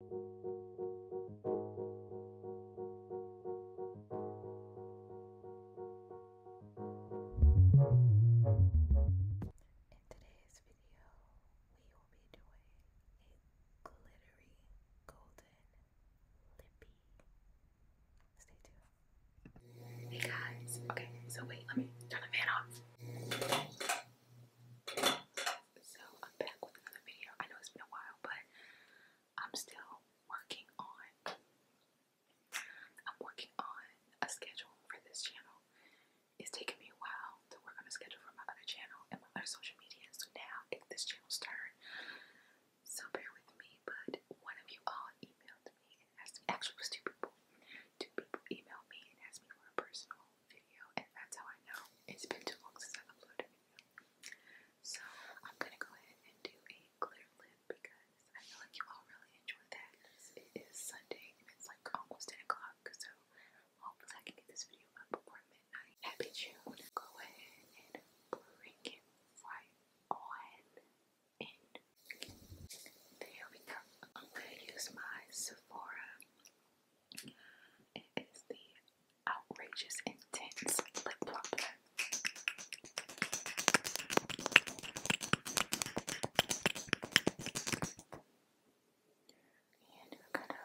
In today's video, we will be doing a glittery golden lippy. Stay tuned. Hey guys, okay, so wait, let me turn the fan off so I'm back with another video. I know it's been a while, but I'm still working on I'm working on a schedule for this channel. It's taken me a while to work on a schedule for my other channel and my other social media, so now it's this channel's turn. So bear with me, but one of you all emailed me and asked me actually it two people. Two people emailed me and asked me for a personal video, and that's how I know it's been too long since I uploaded a video. So I'm gonna go ahead and do a clear lip because I feel like you all really enjoy that. It is Sunday and it's like almost 10 o'clock, so hopefully I can get this video up before midnight. Happy June. Go ahead and bring it right on in. There we go. I'm gonna use my Sephora it is the Outrageous Intense Lip Plumper. And we're gonna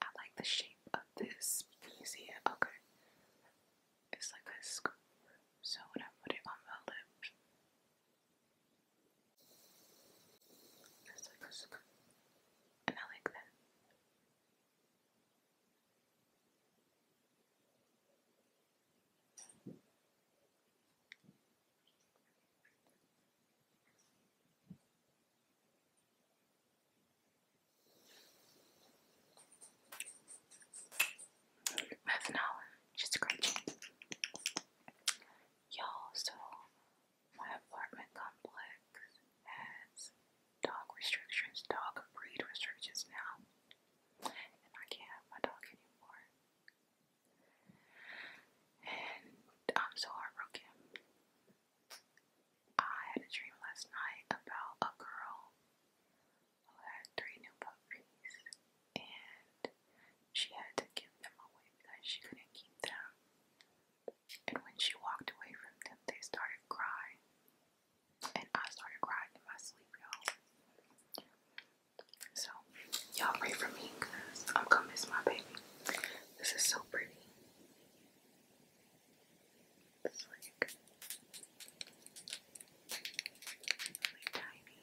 I like the shape of this. You Okay. It's like a So when I put it on my lips, it's like a and I like that. Half an hour, just scratching. Y'all, so my apartment complex has dog restrictions, dog breed restrictions now. And I can't have my dog anymore. And I'm so heartbroken. I had a dream last night about a girl who had three new puppies, and she had to give them away because she couldn't keep them. And when she walked away from them, they started crying. And I started crying in my sleep, y'all. So, y'all pray for me because I'm gonna miss my baby. This is so pretty. It's like, like tiny.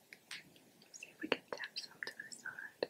See if we can tap some to the side.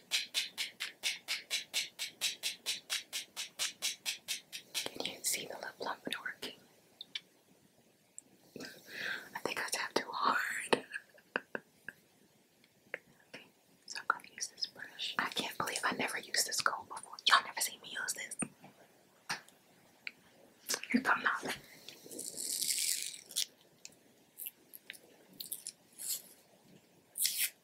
Can you see the lip lump working? I think I tapped too hard. okay, so I'm gonna use this brush. I can't believe I never used this comb before. Y'all never seen me use this. Here come now. Do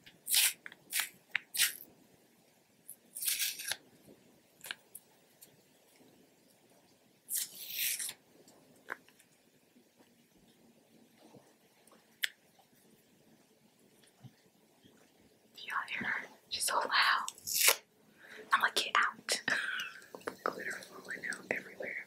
you She's so loud. I'm going get out. Glitter falling out everywhere.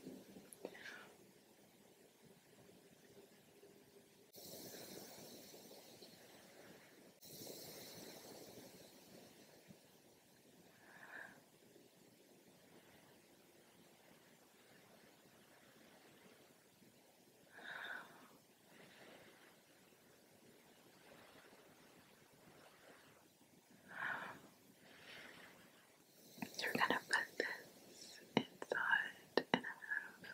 You're going to put this inside in a room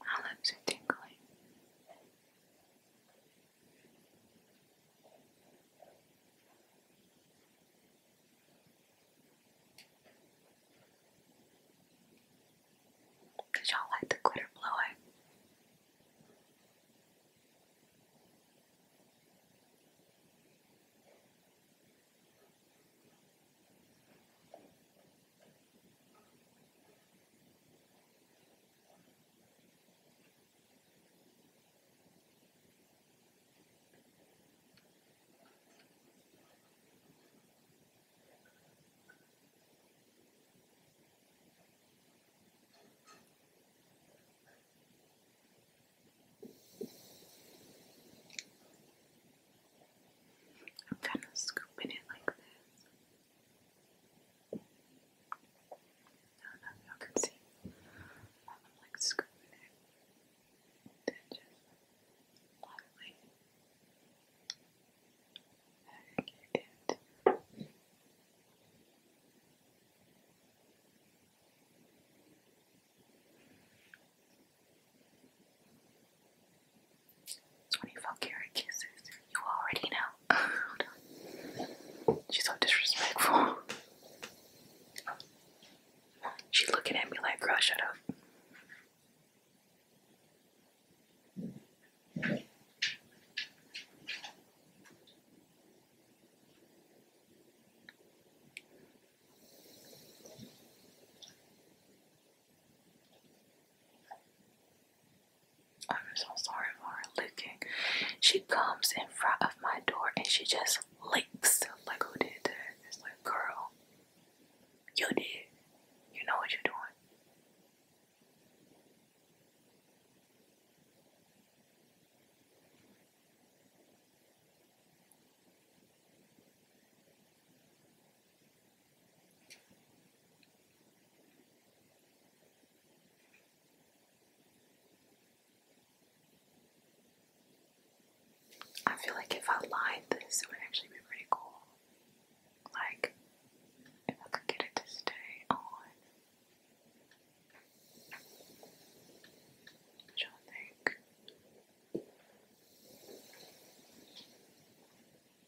My lips are tingling. Did y'all like the glitter blowing? I'm kind of scooping it like this don't know if y'all can see. I'm like screwing it. Then just lightly. Back it. There 24 karat kisses. You already know. Oh, She's so disrespectful. She's looking at me like, girl, shut up. I'm so sorry for her licking. She comes in front of my door and she just licks. Like, who did that? It's like, girl, you did. You know what you're doing. I feel like if I lined this, it would actually be pretty cool. Like, if I could get it to stay on. What you think?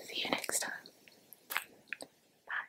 See you next time. Bye.